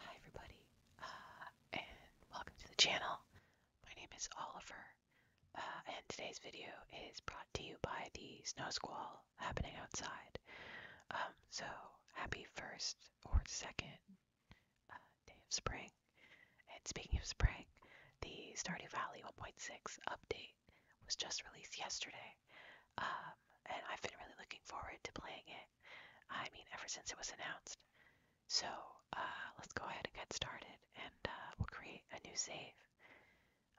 Hi everybody, uh, and welcome to the channel. My name is Oliver, uh, and today's video is brought to you by the snow squall happening outside. Um, so, happy first or second uh, day of spring. And speaking of spring, the Stardew Valley 1.6 update was just released yesterday, um, and I've been really looking forward to playing it I mean, ever since it was announced. So uh, let's go ahead and get started, and uh, we'll create a new save.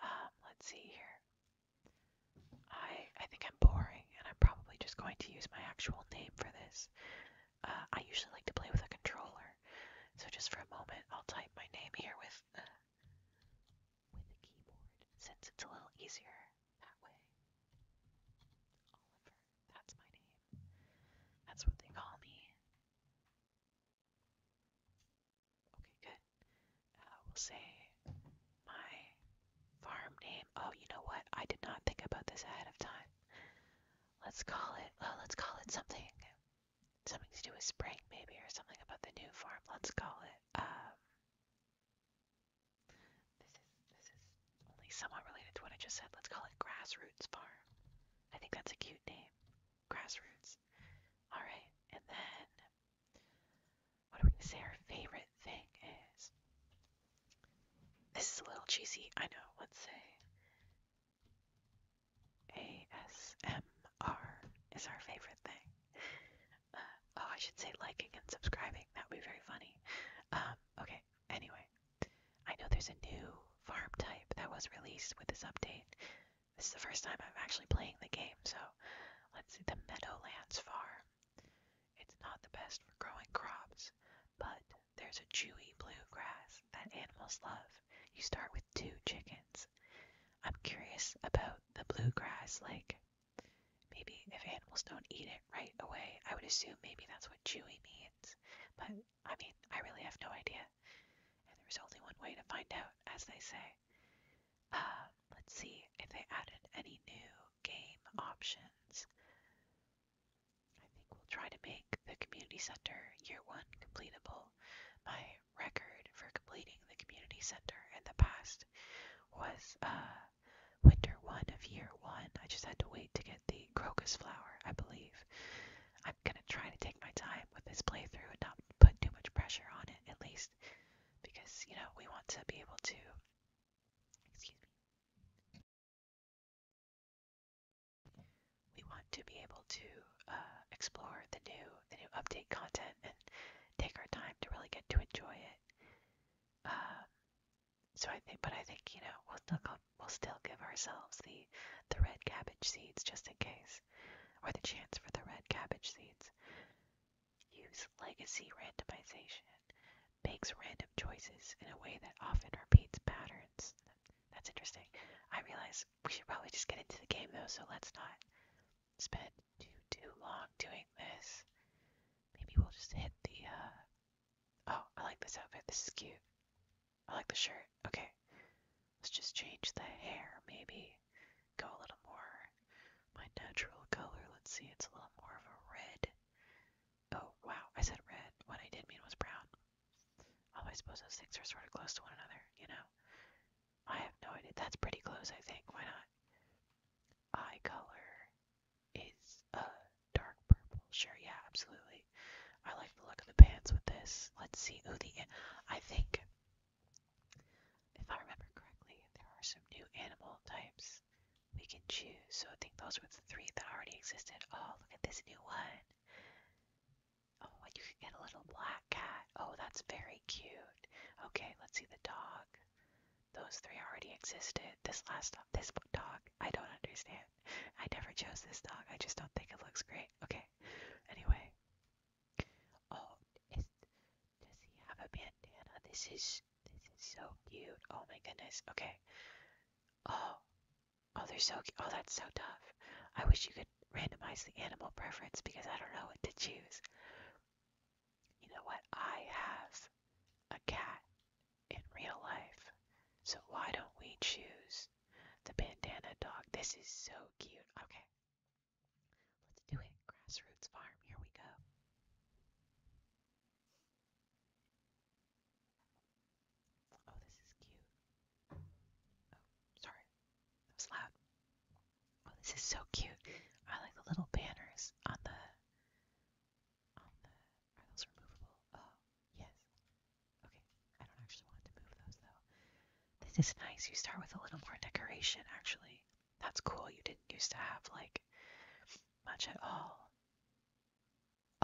Um, let's see here. I I think I'm boring, and I'm probably just going to use my actual name for this. Uh, I usually like to play with a controller, so just for a moment, I'll type my name here with with the keyboard, since it's a little easier that way. That's my name. That's what they call me. Okay, good. Uh, will say my farm name. Oh, you know what? I did not think about this ahead of time. Let's call it. Uh, let's call it something. Something to do with spring, maybe, or something about the new farm. Let's call it. Um, this is this is only somewhat related to what I just said. Let's call it Grassroots Farm. I think that's a cute name. Grassroots. Alright, and then what are we gonna say our favorite thing is? This is a little cheesy, I know. Let's say ASMR is our favorite thing. Uh, oh, I should say liking and subscribing. That would be very funny. Um, okay, Anyway, I know there's a new farm type that was released with this update. This is the first time I'm actually playing the game, so let's see the Meadowlands farm. It's not the best for growing crops, but there's a chewy bluegrass that animals love. You start with two chickens. I'm curious about the bluegrass, grass, like Maybe if animals don't eat it right away, I would assume maybe that's what chewy means. But I mean, I really have no idea. And there's only one way to find out, as they say. Uh, let's see if they added any new game options. I think we'll try to make the community center year one completable. My record for completing the community center in the past was uh, winter one of year one. I just had to wait to get the crocus flower, I believe. I'm gonna try to take my time with this playthrough and not put too much pressure on it, at least, because you know we want to be able to. We want to be able to uh, explore the new, the new update content and take our time to really get to enjoy it. Uh, so I think, but I think you know we'll still come, we'll still give ourselves the the red cabbage seeds just in case, or the chance for the red cabbage seeds. Use legacy randomization makes random choices in a way that often repeats patterns. That's interesting. I realize we should probably just get into the game though, so let's not spend too too long doing this. Maybe we'll just hit the uh, Oh, I like this outfit. This is cute. I like the shirt. Okay. Let's just change the hair, maybe. Go a little more my natural color. Let's see, it's a little more of a red. Oh, wow, I said red. What I did mean was brown. Although I suppose those things are sort of close to one another, you know? I have no idea. That's pretty close, I think. Why not? Eye color is a uh, dark purple. Sure, yeah, absolutely. I like the look of the pants with this. Let's see. Oh, the I think if I remember correctly, there are some new animal types we can choose. So I think those were the three that already existed. Oh, look at this new one. Oh, and you can get a little black cat. Oh, that's very cute. Okay, let's see the dog. Those three already existed. This last dog, this dog, I don't understand. I never chose this dog. I just don't think it looks great. Okay. Anyway. Oh, is, does he have a bandana? This is this is so cute. Oh my goodness. Okay. Oh. Oh, they're so cute. Oh, that's so tough. I wish you could randomize the animal preference because I don't know what to choose. You know what? I have a cat in real life. So why don't we choose the bandana dog? This is so cute. Okay. Let's do it. Grassroots farm. Here we go. Oh, this is cute. Oh, sorry. That was loud. Oh, this is so cute. I like the little banners on the on the are those removable? Oh, yes. Okay, I don't actually want to move those though. This is nice. You start with a little more decoration, actually. That's cool. You didn't used to have like much at all.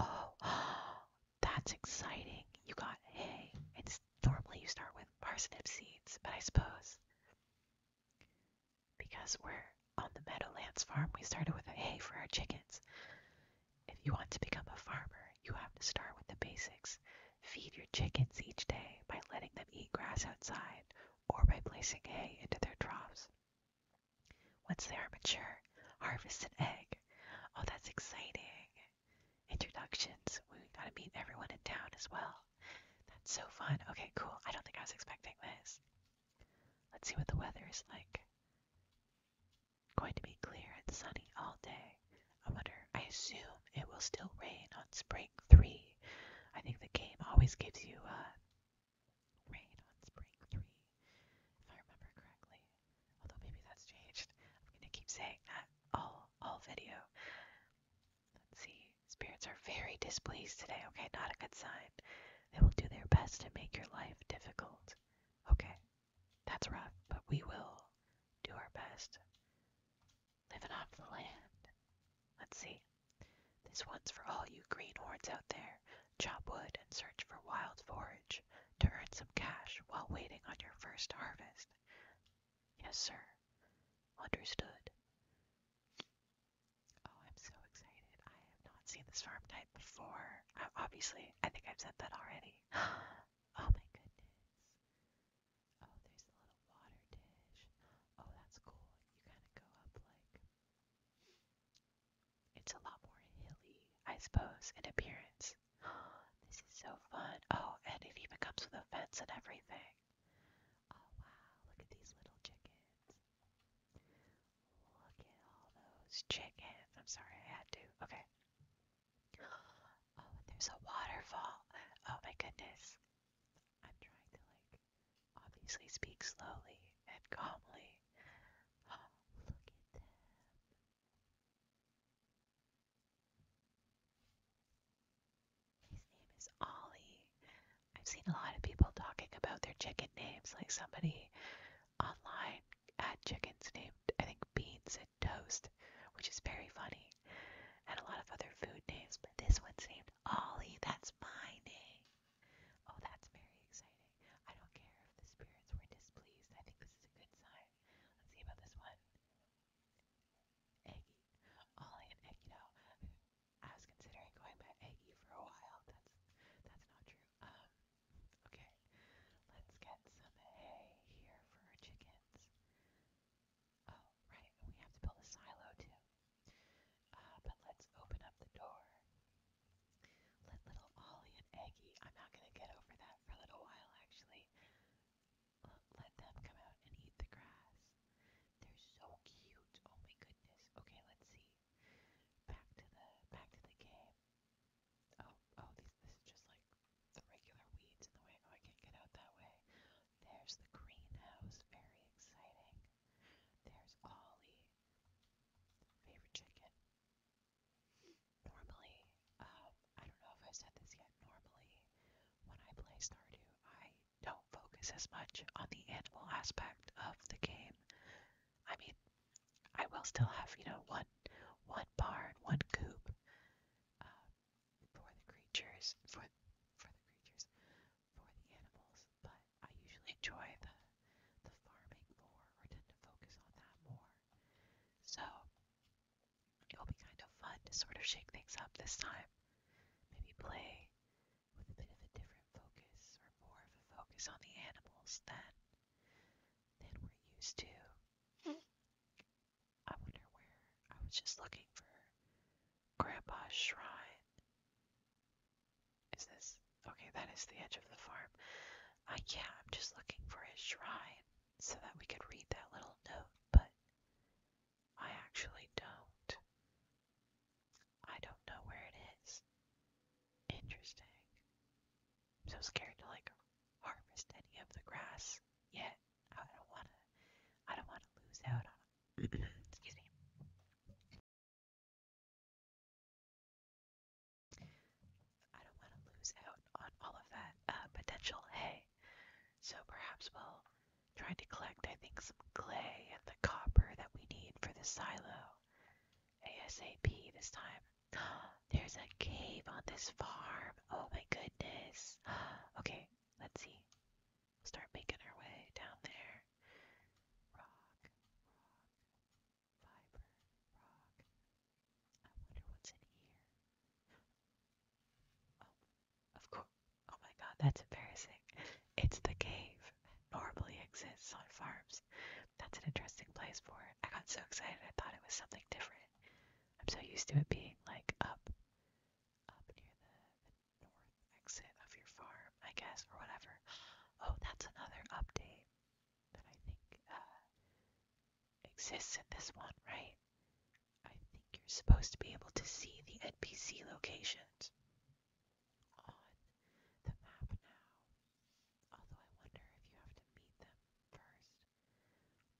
Oh, oh that's exciting. You got hay. It's normally you start with parsnip seeds, but I suppose because we're on the Meadowlands farm, we started with hay for our chickens. If you want to become a farmer, you have to start with the basics. Feed your chickens each day by letting them eat grass outside or by placing hay into their troughs. Once they are mature, harvest an egg. Oh, that's exciting! Introductions. We gotta meet everyone in town as well. That's so fun. Okay, cool. I don't think I was expecting this. Let's see what the weather is like. Going to be clear and sunny all day. I wonder, I assume it will still rain on spring three. I think the game always gives you a uh, rain on spring three, if I remember correctly. Although maybe that's changed. I'm going to keep saying that all, all video. Let's see. Spirits are very displeased today. Okay, not a good sign. They will do their best to make your life difficult. Okay, that's rough, but we will do our best. Living off the land. Let's see. This one's for all you greenhorns out there. Chop wood and search for wild forage to earn some cash while waiting on your first harvest. Yes, sir. Understood. Oh, I'm so excited. I have not seen this farm type before. Obviously, I think I've said that already. oh my goodness. Oh, there's a little water dish. Oh, that's cool. You kind go up like. It's a lot more hilly, I suppose, in appearance. this is so fun. Oh, and it even comes with a fence and everything. Oh, wow. Look at these little chickens. Look at all those chickens. I'm sorry, I had to. Okay. Oh, and there's a waterfall. Oh my goodness. I'm trying to like obviously speak slowly and calmly. Oh, look at them. His name is Ollie. I've seen a lot of people talking about their chicken names, like somebody online had uh, chickens named, I think, Beans and Toast, which is very funny, and a lot of other food names, but this one's named Ollie. That's my name. Oh, that's very exciting. I don't care if the spirits were displeased. I think this is a good sign. Let's see about this one. Ollie and Eggy. I was considering going by Eggy for a while. That's that's not true. Um, Okay, let's get some hay here for our chickens. Oh, right, we have to build a silo too. Uh, but let's open up the door. Let little Ollie and Eggie, I'm not going to get over that for a little while actually. let them come out and eat the grass. They're so cute. Oh my goodness. Okay, let's see. Back to the back to the game. Oh, oh, this is just like the regular weeds in the way. Oh, I can't get out that way. There's the greenhouse. Very exciting. There's Ollie. Favorite chicken. Normally, um, I don't know if i said this yet. Normally, when I play Stardew, I don't focus as much on the animal aspect of the game. I mean, I will still have, you know, one one barn, one coop uh, for the creatures, for for the creatures, for the animals. But I usually enjoy the the farming more, or tend to focus on that more. So it'll be kind of fun to sort of shake things up this time. Maybe play with a bit of a different focus, or more of a focus on the animals than than we're used to. I wonder where. I was just looking for Grandpa's shrine. Is this okay? That is the edge of the farm. I uh, yeah, I'm just looking for his shrine so that we could read that little note, but I actually don't. I don't know where it is. Interesting. I'm so scared to like harvest any of the grass yet. I don't wanna. I don't wanna lose out on. excuse me. I don't want to lose out on all of that uh, potential hay. So perhaps we'll try to collect, I think, some clay and the copper that we need for the silo ASAP this time. There's a cave on this farm. Oh my goodness. Okay, let's see. start making our way down there. Rock, rock, fiber, rock. I wonder what's in here. Oh, of course. Oh my god, that's embarrassing. It's the cave. Normally exists on farms that's an interesting place for it. I got so excited, I thought it was something different. I'm so used to it being like up, up near the, north exit of your farm, I guess, or whatever. Oh, that's another update that I think uh, exists in this one, right? I think you're supposed to be able to see the NPC locations on the map now. Although I wonder if you have to meet them first.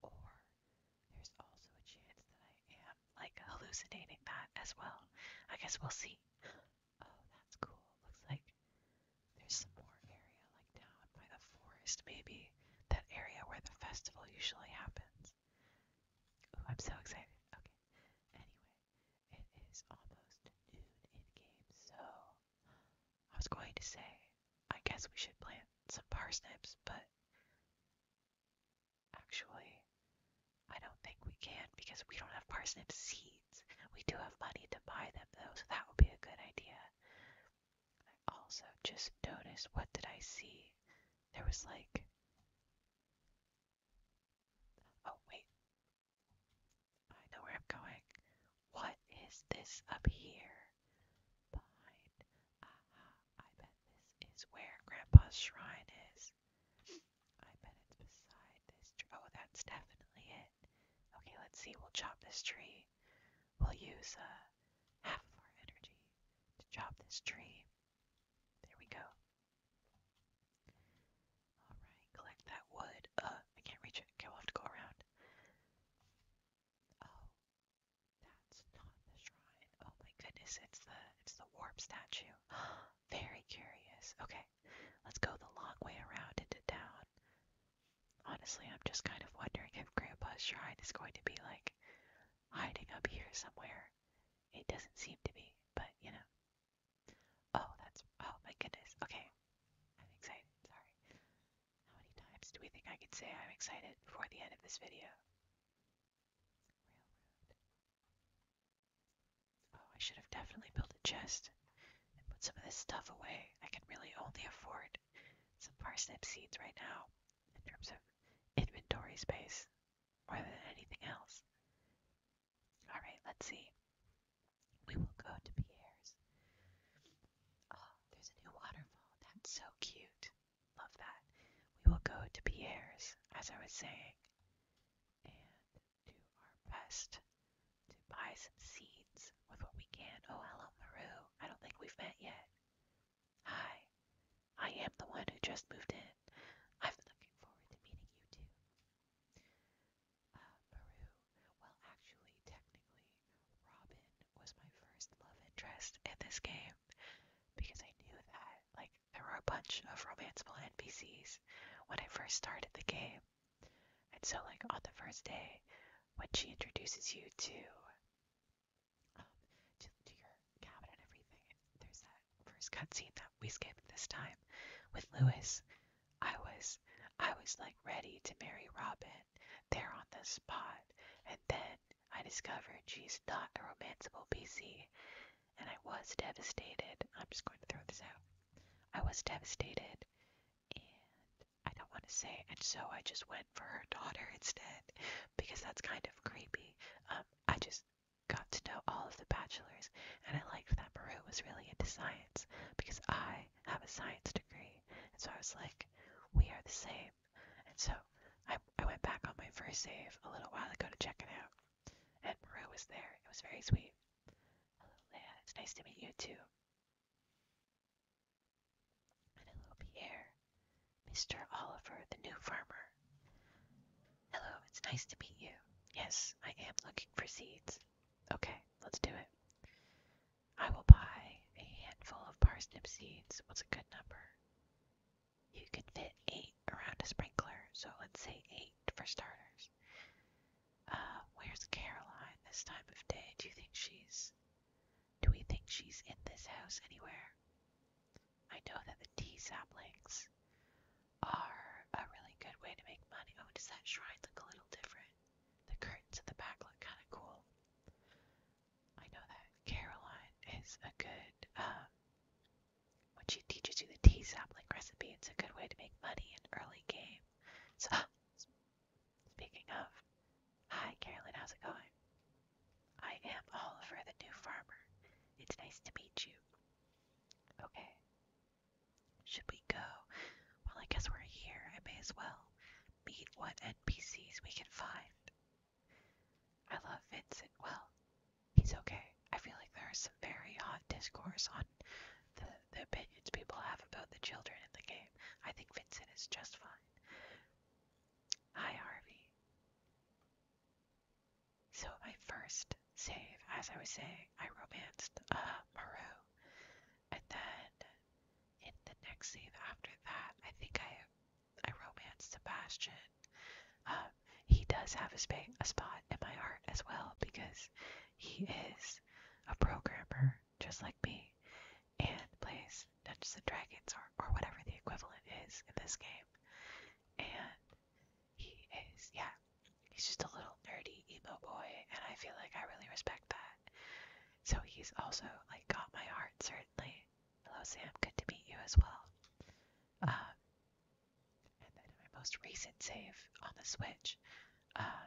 Or there's also a chance that I am like hallucinating that as well. I guess we'll see. Oh, that's cool. Looks like there's some more area like down by the forest, maybe. That area where the festival usually happens. Oh, I'm so excited. Okay. Anyway, it is almost noon in game, so I was going to say, I guess we should plant some parsnips, but actually, I don't think we can because we don't have parsnip seeds. We do have money to buy them though, so that would be a good idea. I also just noticed what did I see? There was like. Oh, wait. I know where I'm going. What is this up here? I bet this is where Grandpa's shrine is. I bet it's beside this tree. Oh, that's definitely it. Okay, let's see. We'll chop this tree. We'll use uh, half of our energy to chop this tree. There we go. Alright, collect that wood. Uh, I can't reach it. Okay, we'll have to go around. Oh, that's not the shrine. Oh my goodness, it's the it's the warp statue. Very curious. Okay, let's go the long way around into town. Honestly, I'm just kind of wondering if Grandpa's shrine is going to be like hiding up here somewhere. It doesn't seem to be, but you know. Oh, that's oh my goodness. Okay. I'm excited, sorry. How many times do we think I could say I'm excited before the end of this video? Oh, I should have definitely built a chest and put some of this stuff away. I can really only afford some parsnip seeds right now in terms of inventory space more than anything else. Alright, let's see. We will go to Pierre's. Oh, there's a new waterfall. That's so cute. Love that. We will go to Pierre's, as I was saying, and do our best to buy some seeds with what we can. Oh, hello, Maru. I don't think we've met yet. Hi. I am the one who just moved in. I've been looking forward to meeting you too. Ah, Maru well, actually, technically, Robin was my first love interest in this game because I knew that, like, there were a bunch of romanceable NPCs when I first started the game. And so, like, on the first day, when she introduces you to um, to, to your cabin and everything. And there's that first cutscene that we skipped this time with Lewis. I was I was like ready to marry Robin there on the spot. And then I discovered she's not a romanceable PC, and I was devastated. I'm just going to throw this out. I was devastated, and I don't want to say, and so I just went for her daughter instead, because that's kind of creepy. Um, I just got to know all of the bachelors, and I liked that Maru was really into science, because I I have a science degree. And so I was like, we are the same. And so I, I went back on my first save a little while ago to check it out. And Maru was there. It was very sweet. Hello, Leia. It's nice to meet you too. hello, Pierre. Mr. Oliver, the new farmer. Hello, it's nice to meet you. Yes, I am looking for seeds. Okay, let's do it. I will buy a handful of parsnip seeds. What's a good number? You can fit eight around a sprinkler, so let's say eight for starters. Uh, where's Caroline this time of day? Do you think she's. Do we think she's in this house anywhere? I know that the tea saplings are a really good way to make money. Oh, does that shrine look a little different? The curtains at the back look kind of cool. I know that Caroline is a good, um, when she teaches you the tea sapling recipe, it's a good way to make money in early game. So, speaking of, hi Caroline, how's it going? I am Oliver, the new farmer. It's nice to meet you. Okay. Should we go? Well, I guess we're here. I may as well meet what NPCs we can find. I love Vincent. Well, he's okay. I feel like there is some very hot discourse on the, opinions people have about the children in the game. I think Vincent is just fine. Hi, Harvey. So, my first save, as I was saying, I romanced uh, Maru, and then in the next scene after that, I think I I romanced Sebastian. Um, he does have a, a spot in my heart as well because he is a programmer just like me and plays Dungeons and Dragons or, or whatever the equivalent is in this game. And he is, yeah, he's just a little nerdy emo boy, and I feel like I really respect that. So he's also like got my heart certainly. Hello Sam, good to meet you as well. Uh, and then in my most recent save on the Switch, uh,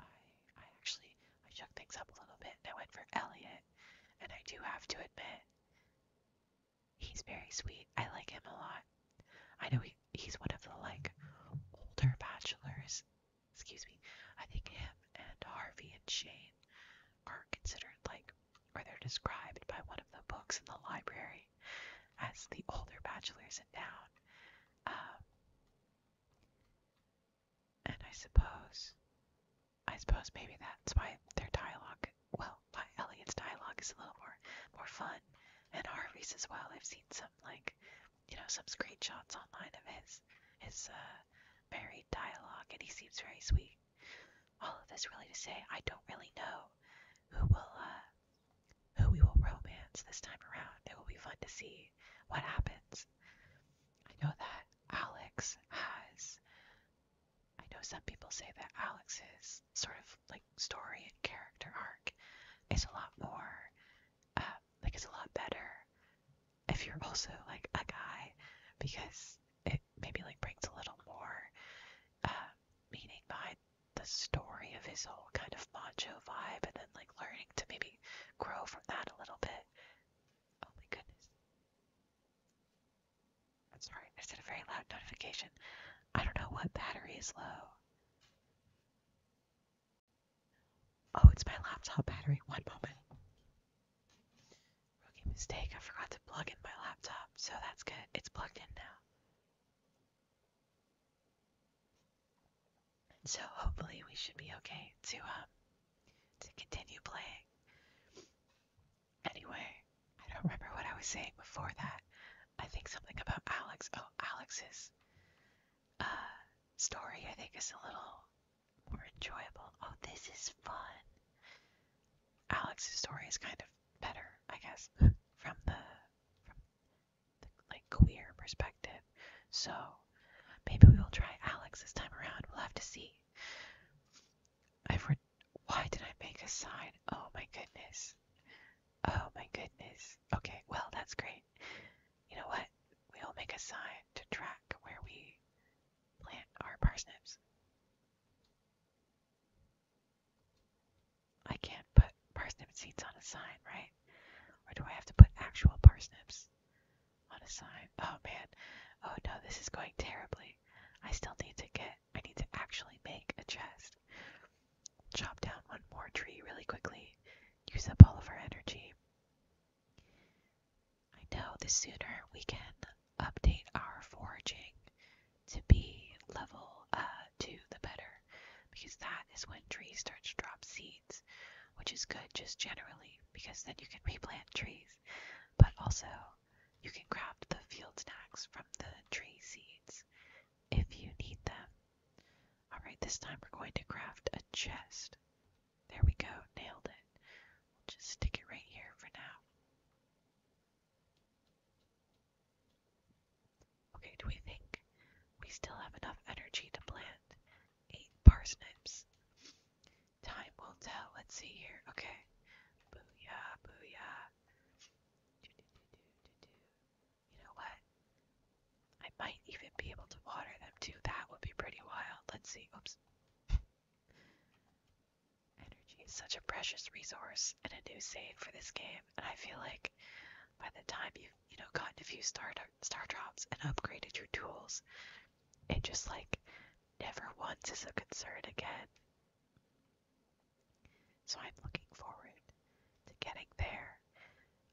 I I actually I shook things up a little bit and I went for Elliot. And I do have to admit, he's very sweet. I like him a lot. I know he, he's one of the like older bachelors excuse me, I think him and Harvey and Shane are considered like, or they're described by one of the books in the library as the older bachelors in town. Um, and I suppose, I suppose maybe that's why their dialogue, well, why Elliot's dialogue is a little more, more fun, and Harvey's as well. I've seen some like, you know, some screenshots online of his, his uh, varied dialogue, and he seems very sweet. All of this really to say, I don't really know who will uh, who we will romance this time around. It will be fun to see what happens. I know that Alex has. I know some people say that Alex's sort of like story and character arc is a lot more, uh, like, is a lot better if you're also like a guy, because it maybe like brings a little more uh, meaning behind the story of his whole kind of macho vibe, and then like learning to maybe grow from that a little bit. Oh my goodness. sorry, I said a very loud notification. I don't know what battery is low. Oh, it's my laptop battery. One moment. Rookie mistake. I forgot to plug in my laptop, so that's good. It's plugged in now. so hopefully we should be okay to um to continue playing. Anyway, I don't remember what I was saying before that. I think something about Alex. Oh, Alex's uh, story I think is a little more enjoyable. Oh, this is fun. Alex's story is kind of better, I guess, from the from like queer perspective. So maybe we will try Alex this time around. We'll have to see. I've read. Why did I make a sign? Oh my goodness. Oh my goodness. Okay, well that's great. You know what? We'll make a sign to track where we plant our parsnips. I can't put parsnip seeds on a sign, right? Or do I have to put actual parsnips on a sign? Oh man. Oh no, this is going terribly. I still need to get I need to actually make a chest. Chop down one more tree really quickly. Use up all of our energy. I know the sooner we can update our foraging to be level uh, 2, the better, because that is when trees start to drop seeds, which is good just generally, because then you can replant trees, but also you can craft the field snacks from the tree seeds if you need them. Alright, this time we're going to craft a chest. There we go, nailed it. We'll just stick it right here for now. Okay, do we think we still have enough energy to plant eight parsnips? Time will tell. Let's see here. Okay. Booyah, booyah. You know what? I might even be able to water them too. That would be pretty wild. Let's see. Oops. Energy is such a precious resource and a new save for this game, and I feel like by the time you've you know gotten a few star star drops and upgraded your tools, it just like never once is a concern again. So I'm looking forward to getting there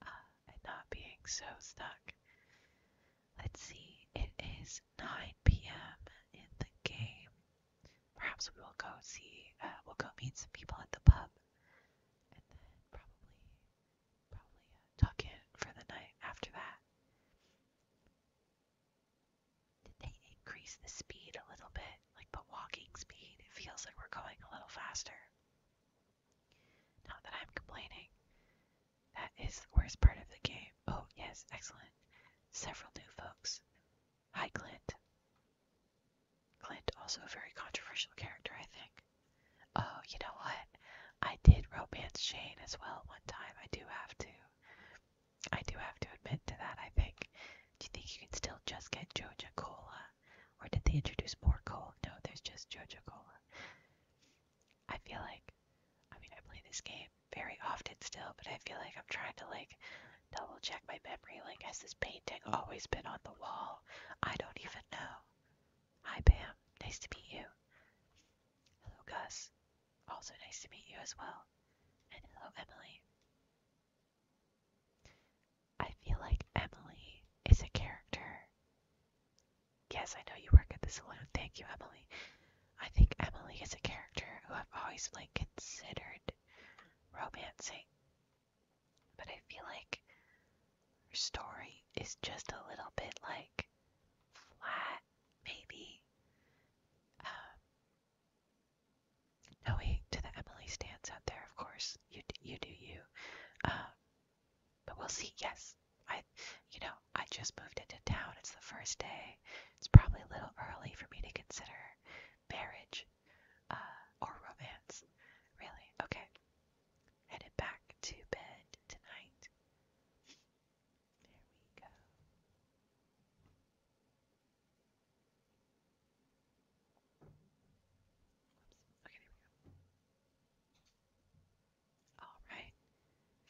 uh, and not being so stuck. Let's see, it is 9 p.m. in the game. Perhaps we will go see, uh, we'll go meet some people at the pub, and then probably, probably uh, tuck in for the night after that. Did they increase the speed a little bit? Like the walking speed? It feels like we're going a little faster. Not that I'm complaining. That is the worst part of the game. Oh, yes, excellent. Several new folks. Hi, Clint. Clint, also a very controversial character, I think. Oh, you know what? I did romance Shane as well one time. I do have to. I do have to admit to that, I think. Do you think you can still just get Jojo Cola? Or did they introduce more cola? No, there's just Jojo Cola. I feel like, I mean, I play this game very often still, but I feel like I'm trying to like double check my memory. Like, has this painting always been on the wall? I don't even know. Hi, Pam. Nice to meet you. Hello, Gus. Also, nice to meet you as well. And hello, Emily. I feel like Emily is a character Yes, I know you work at the saloon. Thank you, Emily. I think Emily is a character who I've always like considered romancing. But I feel like her story is just a little bit like flat, maybe. Um, no way to the Emily stance out there, of course. You, you do you. Um, but we'll see. Yes, I, you know, I just moved into town. It's the first day. It's probably a little early for me to consider marriage uh, or romance. Really? Okay. Headed back to bed tonight. There we go. Oops. Okay, there we go. Alright.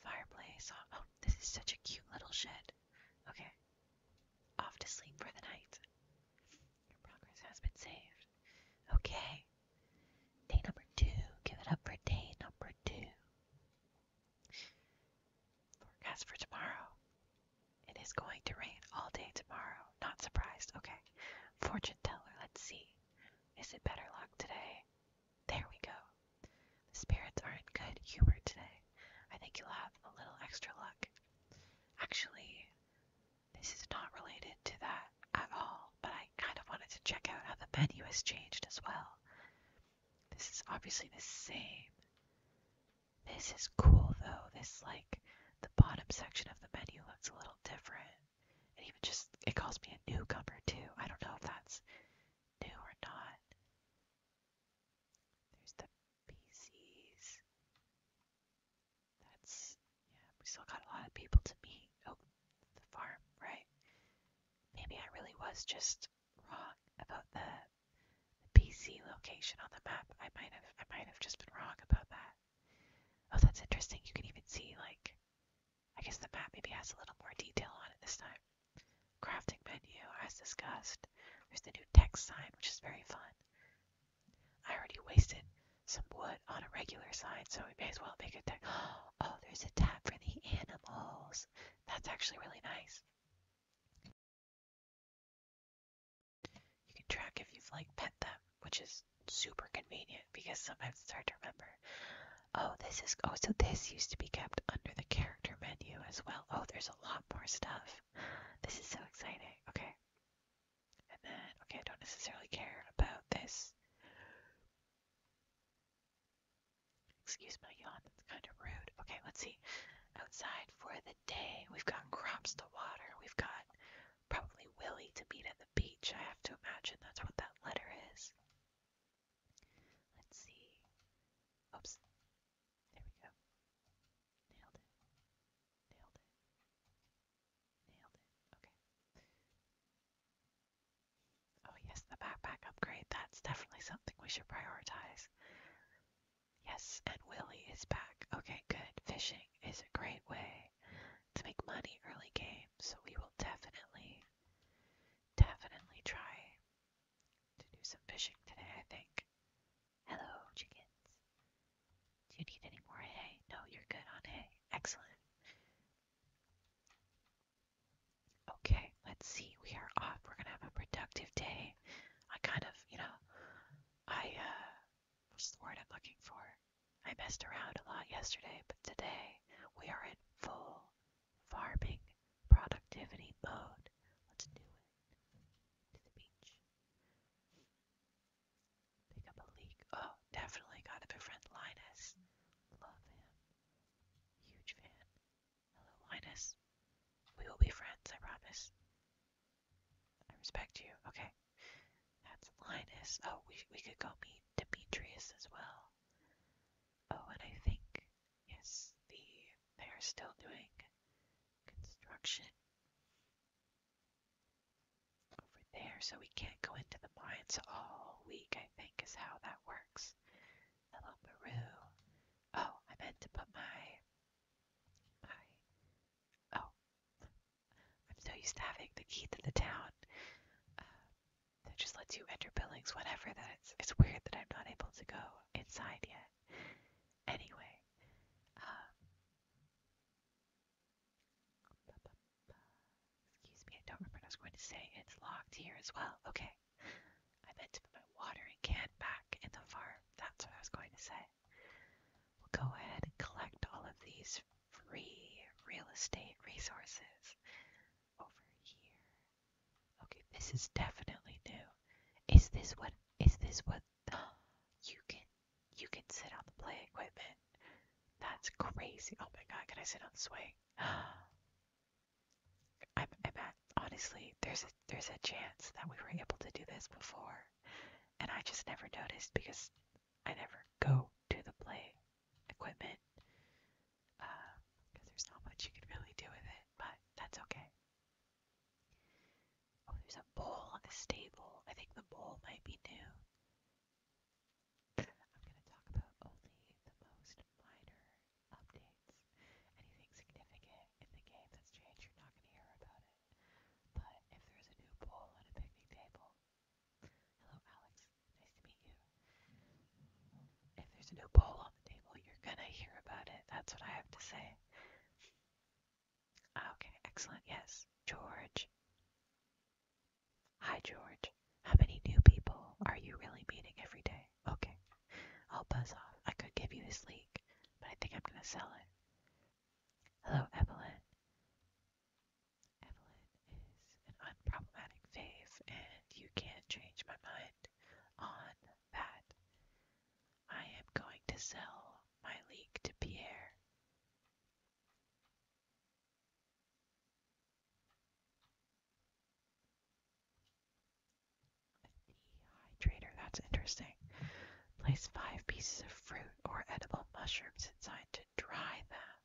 Fireplace. Oh, oh, this is such a cute little shed. Okay. Off to sleep for the night. Your progress has been saved. Okay. Day number two. Give it up for day number two. Forecast for tomorrow. It is going to rain all day tomorrow. Not surprised. Okay. Fortune teller. Let's see. Is it better luck today? There we go. The spirits are in good humor today. I think you'll have a little extra luck. Actually, this is not related to that at all, but I kind of wanted to check out how the menu has changed as well. This is obviously the same. This is cool though. This, like, the bottom section of the menu looks a little different. And even just, it calls me a newcomer too. I don't know if that's new or not. There's the PCs. That's yeah, we still got a lot of people to meet. Oh, the farm, right? Maybe I really was just wrong about the PC location on the map. I might have I might have just been wrong about that. Oh, that's interesting. You can even see like I guess the map maybe has a little more detail on it this time. Crafting menu, as discussed. There's the new text sign, which is very fun. I already wasted some wood on a regular sign, so we may as well make it text. Oh, there's a tab for the animals. That's actually really nice. You can track if you've like pet them, which is super convenient because sometimes it's hard to remember. Oh, this is oh, so this used to be kept under the character menu as well. Oh, there's a lot more stuff. This is so exciting. Okay. And then okay, I don't necessarily care about this. Excuse my yawn, that's kind of rude. Okay, let's see. Outside for the day, we've got crops to water. We've got probably Willie to meet at the beach. I have to imagine that's what that letter is. Let's see. Oops. There we go. Nailed it. Nailed it. Nailed it. Okay. Oh, yes, the backpack upgrade. That's definitely something we should prioritize. Yes, and Willie is back. Okay, good. Fishing is a great way to make money early game, so we will definitely, definitely try to do some fishing today, I think. Hello, chickens. Do you need any more hay? No, you're good on hay. Excellent. Okay, let's see. We are off. We're gonna have a productive day. I kind of, you know, I, uh, what's the word I'm looking for? I messed around a lot yesterday, but today we are in full Farming, productivity mode. Let's do it. To the beach. Pick up a leak. Oh, definitely gotta befriend Linus. Love him. Huge fan. Hello, Linus. We will be friends, I promise. I respect you. Okay. That's Linus. Oh, we, we could go meet Demetrius as well. Oh, and I think Yes, the they are still doing construction over there, so we can't go into the mines all week, I think is how that works. Hello Peru. Oh, I meant to put my my oh I'm so used to having the key to the town. Uh, that just lets you enter buildings, whatever. That it's it's weird that I'm not able to go inside yet. Anyway, um, excuse me, I don't remember what I was going to say. It's locked here as well. Okay, I meant to put my watering can back in the farm. That's what I was going to say. We'll go ahead and collect all of these free real estate resources over here. Okay, this is definitely new. Is this what is this what you can you can sit on the play equipment? That's crazy. Oh my god, can I sit on the swing? I'm, I'm at, honestly, there's a, there's a chance that we were able to do this before, and I just never noticed because I never go to the play equipment because um, there's not much you could really do with it, but that's okay. Oh, there's a bowl on the stable. I think the bowl might be new. I'm going to talk about only the most minor updates. Anything significant in the game that's changed, you're not going to hear about it. But if there's a new bowl on a picnic table, hello Alex, nice to meet you. If there's no bowl on the table, you're gonna hear about it. That's what I have to say. Ah, okay, excellent. Yes, George. Hi, George. How many new people are you really meeting every day? Okay, I'll buzz off. I could give you this leak, but I think I'm gonna sell it. Hello, Evelyn. Evelyn is an unproblematic fave, and you can't change my mind on that I am going to sell my league to Pierre. Dehydrator, that's interesting. Place five pieces of fruit or edible mushrooms inside to dry them.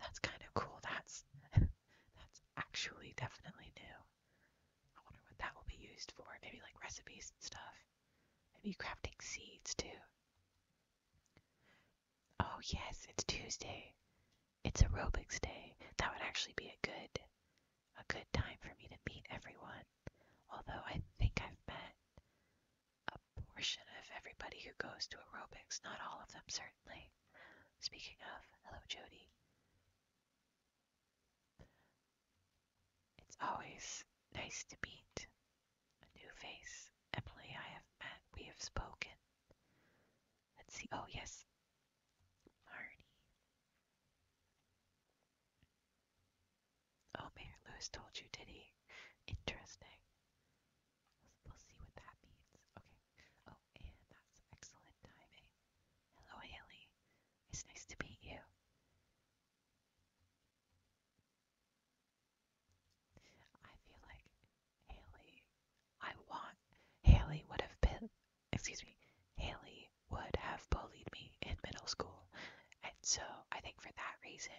That's kind of cool. That's that's actually definitely new. I wonder what that will be used for. Maybe like recipes and stuff. Maybe crafting seeds too. Oh yes, it's Tuesday. It's aerobics day. That would actually be a good a good time for me to meet everyone. Although I think I've met a portion of everybody who goes to aerobics, not all of them certainly. Speaking of, hello Jody. It's always nice to meet a new face. Emily, I have met, we have spoken. Let's see, oh yes, Marty. Oh, Mayor Lewis told you, did he? Interesting. We'll see what that means. Okay. Oh, that's excellent timing. Hello, Haley. It's nice to meet you. I feel like Haley, I want, Haley would have been, excuse me, Haley would have bullied me in middle school. And so I think for that reason,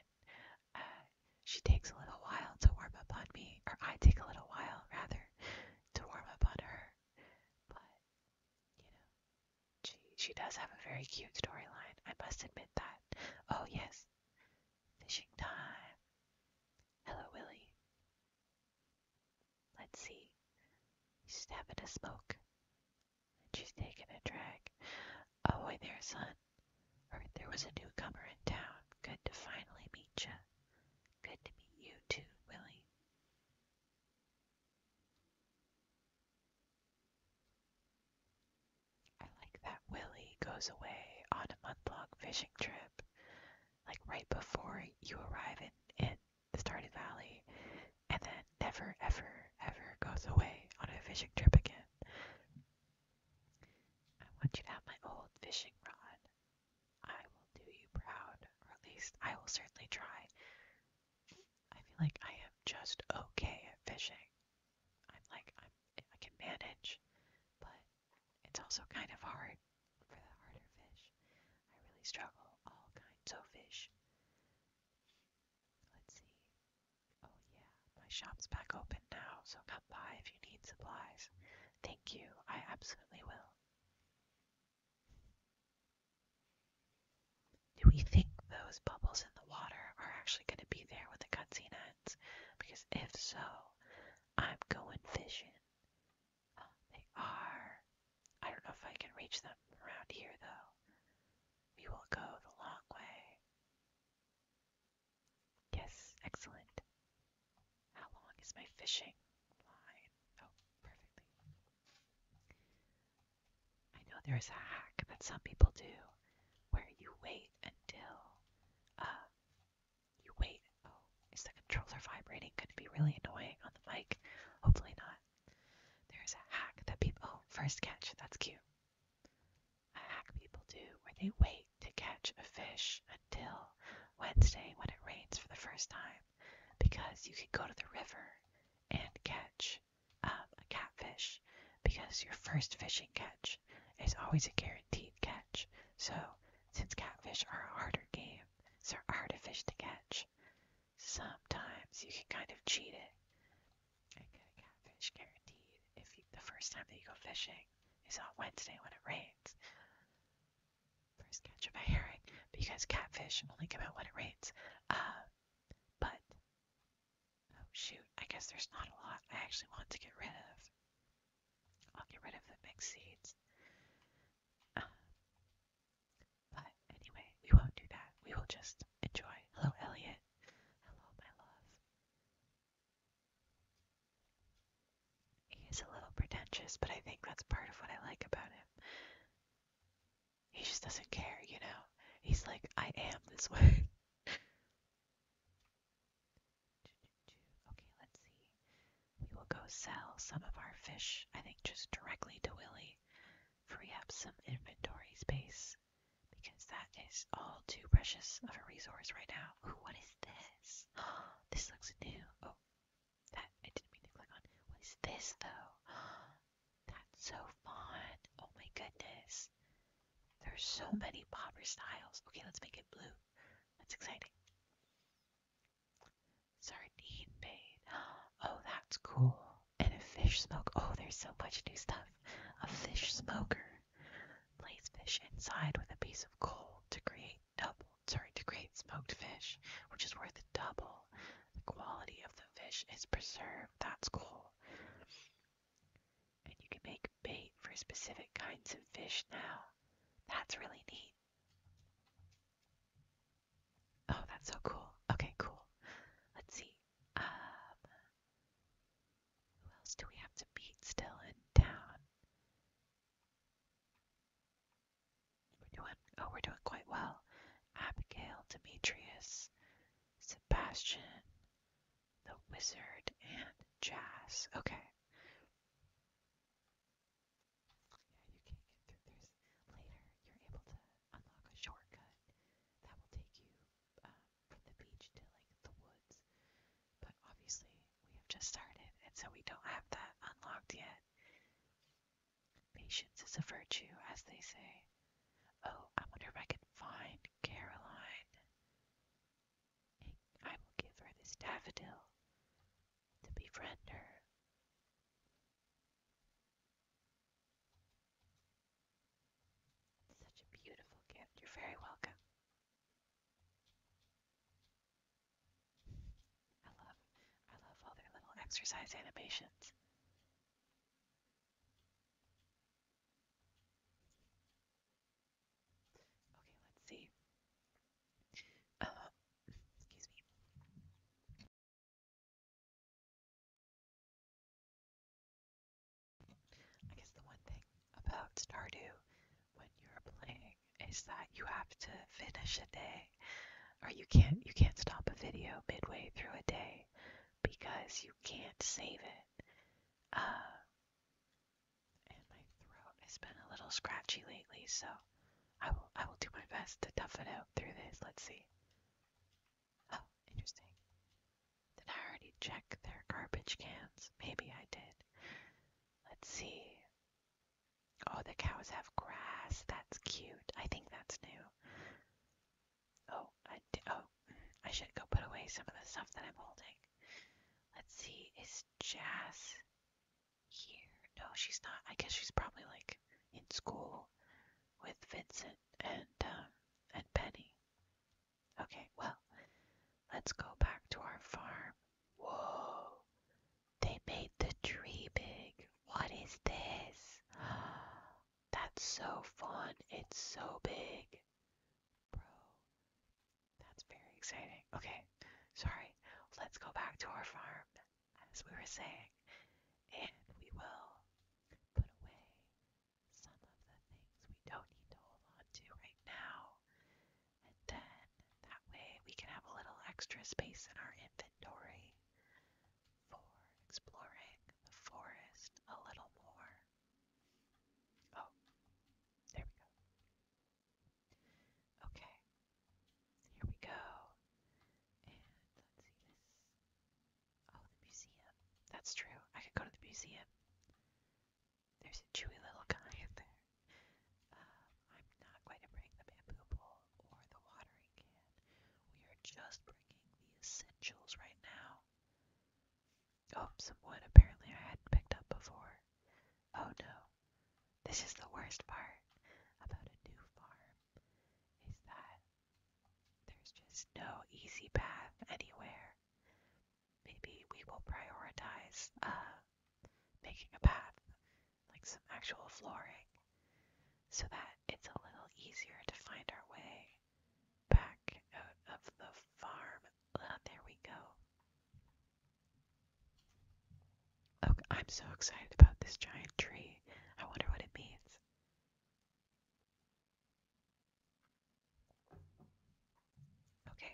uh, she takes a little while to warm up on me, or I take a little while, rather, to warm up on her. But you know, she she does have a very cute storyline. I must admit that. Oh yes, fishing time. Hello, Willie. Let's see. She's having a smoke. And she's taking a drag. Oh, hi there, son. Heard there was a newcomer in town. Good to finally meet you. Good to meet you too, Willie. I like that Willie goes away on a month long fishing trip, like right before you arrive in, in the Stardew Valley, and then never, ever, ever goes away on a fishing trip again. I want you to have my old fishing rod. I will do you proud, or at least I will certainly try. I feel like I am just okay at fishing. I'm like I'm I can manage, but it's also kind of hard for the harder fish. I really struggle all kinds of fish. Let's see. Oh yeah, my shop's back open now, so come by if you need supplies. Thank you. I absolutely will. Do we think those bubbles in the water are actually going to be there when the cutscene ends? Because if so, I'm going fishing. Oh, they are. I don't know if I can reach them around here though. We will go the long way. Yes, excellent. How long is my fishing? line. Oh, perfectly. I know there's a hack that some people do where you wait until uh you wait. Oh, is the controller vibrating? Could be really annoying on the mic. Hopefully not. There's a hack that people oh, first catch, that's cute. A hack people do where they wait to catch a fish until Wednesday when it rains for the first time because you can go to the river and catch um, a catfish because your first fishing catch is always a guaranteed catch. So, since catfish are a harder game, they so harder fish to catch, sometimes you can kind of cheat it and get a catfish guaranteed if the first time that you go fishing is on Wednesday when it rains first catch of my herring because catfish only come out when it rains. Uh, but oh shoot, I guess there's not a lot I actually want to get rid of. I'll get rid of the mixed seeds. Uh, but anyway, we won't do that. We will just enjoy. Hello, Elliot. Hello, my love. He is a little pretentious, but I think that's part of what I like about him. He just doesn't care, you know? He's like, I am this way. okay, let's see. We will go sell some of our fish, I think just directly to Willie. Free up some inventory space because that is all too precious of a resource right now. Ooh, what is this? This looks new. Oh, that I didn't mean to click on. What is this though? That's so fun. Oh my goodness. There's so many popper styles. Okay, let's make it blue. That's exciting. Sardine bait. Oh, that's cool. And a fish smoke. Oh, there's so much new stuff. A fish smoker. Place fish inside with a piece of coal to create double sorry, to create smoked fish, which is worth double. The quality of the fish is preserved. That's cool. And you can make bait for specific kinds of fish now. That's really neat. Oh, that's so cool. Okay, cool. Let's see. Um, who else do we have to meet still in town? We're doing, oh, we're doing quite well. Abigail, Demetrius, Sebastian, the Wizard, and Jazz. Okay. Yeah, you can get through this later. You're able to unlock a shortcut that will take you um, from the beach to like the woods. But obviously, we have just started, and so we don't have that unlocked yet. Patience is a virtue, as they say. Oh, I wonder if I can find Caroline. I will give her this daffodil to befriend her. Such a beautiful gift. You're very welcome. I love, I love all their little exercise animations. Okay, let's see. Uh, excuse me. I guess the one thing about Stardew when you're playing is that you have to finish a day or you can't you can't stop a video midway through a day because you can't save it uh, and my throat has been a little scratchy lately so i will i will do my best to tough it out through this let's see oh interesting did i already check their garbage cans maybe i did let's see Oh, the cows have grass. That's cute. I think that's new. Oh, I d oh, I should go put away some of the stuff that I'm holding. Let's see, is Jazz here? No, she's not. I guess she's probably like in school with Vincent and um, and Penny. Okay, well, let's go back to our farm. Whoa, they made the tree big. What is this? That's so fun. It's so big. that's very exciting. Okay, sorry. Let's go back to our farm, as we were saying, and we will put away some of the things we don't need to hold on to right now. And then that way we can have a little extra space in our inventory for exploring the forest a little more. Oh, there we go. Okay, here we go. And let's see this. Oh, the museum. That's true. I could go to the museum. There's a chewy little guy there. Uh, I'm not going to bring the bamboo pole bowl or the watering can. We are just bringing the essentials right now. Oh, some wood apparently I hadn't picked up before. Oh no, this is the worst part about a new farm is that there's just no easy path anywhere. Maybe we will prioritize uh, making a path like some actual flooring, so that it's a little easier to find our way back out of the farm. Ah, there we go. Okay, oh, I'm so excited about this giant tree. I wonder what it means. Okay,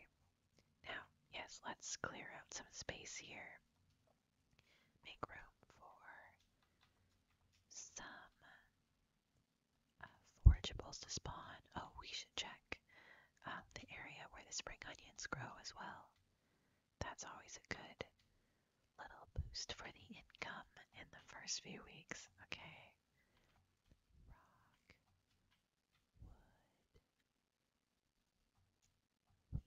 now, yes, let's clear out some space here make room for some uh, forageables to spawn. Oh, we should check um, the area where the spring onions grow as well. That's always a good little boost for the income in the first few weeks. Okay. Rock, wood, weeds,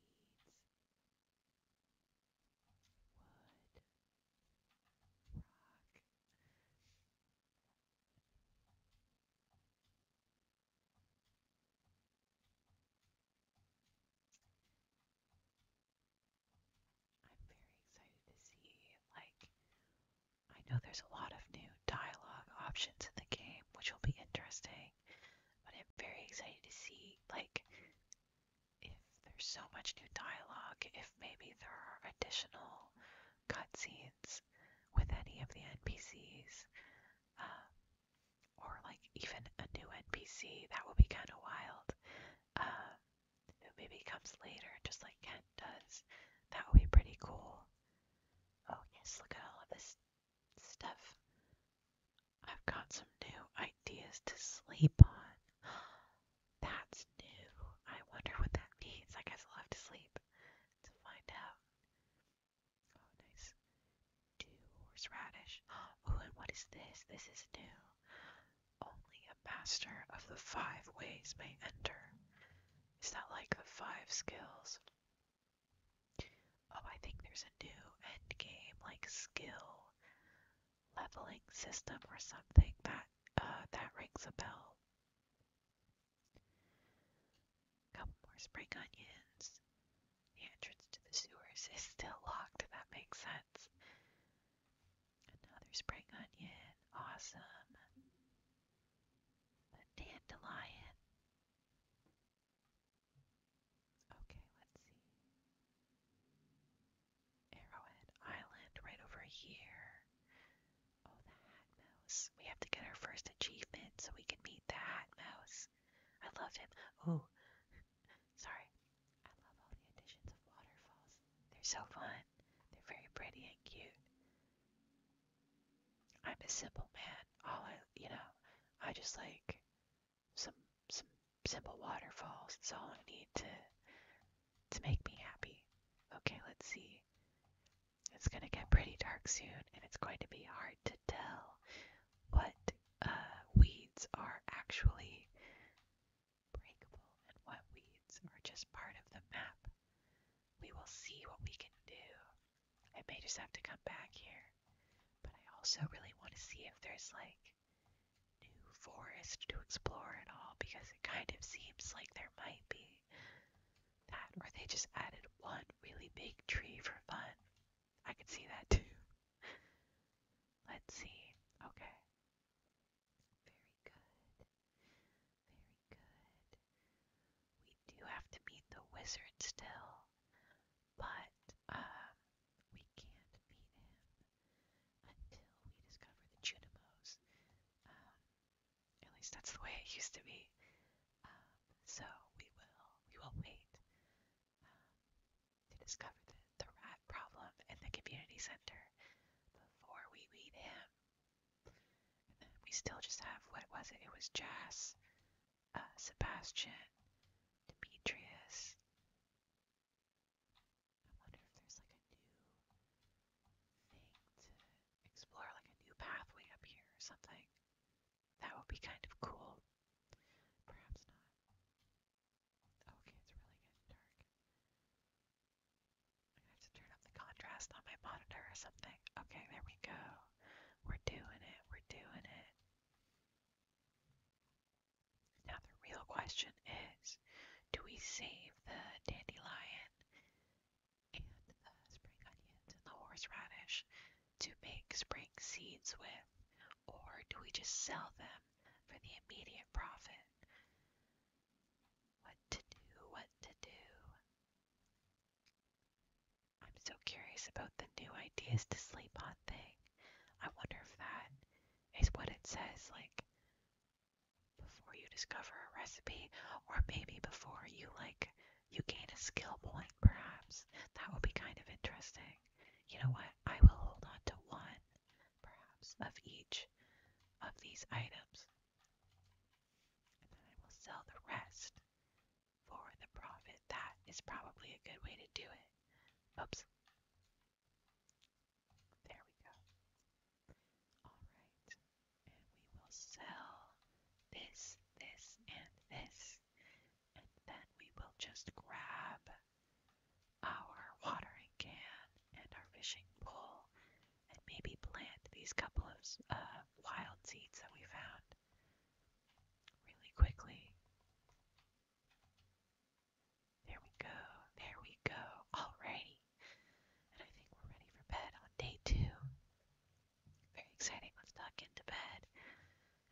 I'm very excited to see, like, I know there's a lot of new dialogue options in the game, which will be interesting, but I'm very excited to see, like, if there's so much new dialogue, if maybe there are additional cutscenes with any of the NPCs, uh, or like even a new NPC, that would be kind of wild. Uh, who maybe comes later, just like Kent does. That would be pretty cool. Oh yes, look at all of this stuff. I've got some new ideas to sleep on. That's new. I wonder what that means. I guess I'll have to sleep to find out. Oh, nice. Two horseradish. Oh, and what is this? This is new. Only a master of the five ways may enter. Is that like the five skills? Oh, I think there's a new end game, like skill leveling system or something that uh, that rings a bell. Couple more spring onions. The entrance to the sewers is still locked. That makes sense. Another spring onion. Awesome. A dandelion. Okay, let's see. Arrowhead Island, right over here. Oh, the Hat Mouse. We have to get our first achievement so we can meet the Hat Mouse. I love him. Oh, sorry. I love all the additions of waterfalls. They're so fun. They're very pretty and cute. I'm a simple man. All I, you know, I just like some some simple waterfalls. That's all I need to to make me happy. Okay, let's see. It's gonna get pretty dark soon, and it's going to be hard to tell what uh, weeds are actually breakable and what weeds are just part of the map. We will see what we can do. I may just have to come back here, but I also really want to see if there's like new forest to explore and all because it kind of seems like there might be that, or they just added one really big tree for fun. I could see that too. Let's see. Okay. Very good. Very good. We do have to meet the wizard still, but um, we can't beat him until we discover the Junimos. Um, at least that's the way it used to be. Um, so we will we will wait um, to discover the, rat problem in the community center before we meet him. we still just have what was it? It was Jas, uh, Sebastian, Demetrius. I wonder if there's like a new thing to explore, like a new pathway up here or something. That would be kind of cool. Perhaps not. Oh, okay, it's really getting dark. I have to turn up the contrast on my monitor or something. Okay, there we go. We're doing it. We're doing it. Now, the real question is do we save the dandelion and the spring onions and the horseradish to make spring seeds with, or do we just sell them for the immediate profit? What to do, what to do. I'm so curious about the new ideas to sleep on thing. I wonder if that is what it says like before you discover a recipe or maybe before you like you gain a skill point perhaps that will be kind of interesting you know what i will hold on to one perhaps of each of these items and then i will sell the rest for the profit that is probably a good way to do it oops there we go. Alright, and we will sell this, this, and this, and then we will just grab our watering can and our fishing pole and maybe plant these couple of uh, wild seeds that we found really quickly. There we go. There we go. Alrighty. And I think we're ready for bed on day two. Very exciting. Let's duck into bed.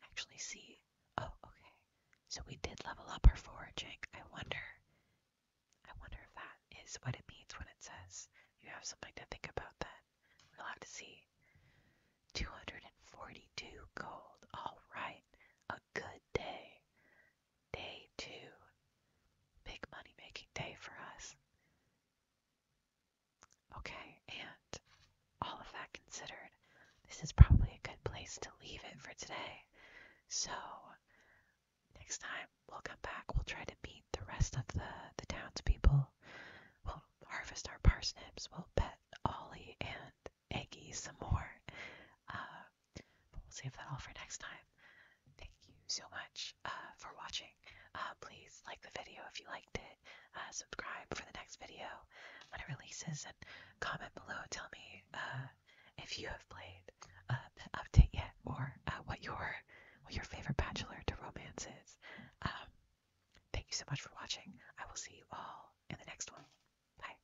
Actually, see. Oh, okay. So we did level up our foraging. I wonder. I wonder if that is what it means when it says you have something to think about. Then we'll have to see. 242 gold. All right. A good day day two. Big money making day for us. Okay, and all of that considered, this is probably a good place to leave it for today. So, next time we'll come back, we'll try to meet the rest of the, the townspeople. We'll harvest our parsnips, we'll pet Ollie and Eggie some more. Uh, but we'll save that all for next time. Thank you so much uh, for watching. Uh, please like the video if you liked it. subscribe for the next video when it releases, and comment below. Tell me if you have played the update yet, or what your your favorite Bachelor to Romance is. Um, thank you so much for watching. I will see you all in the next one. Bye.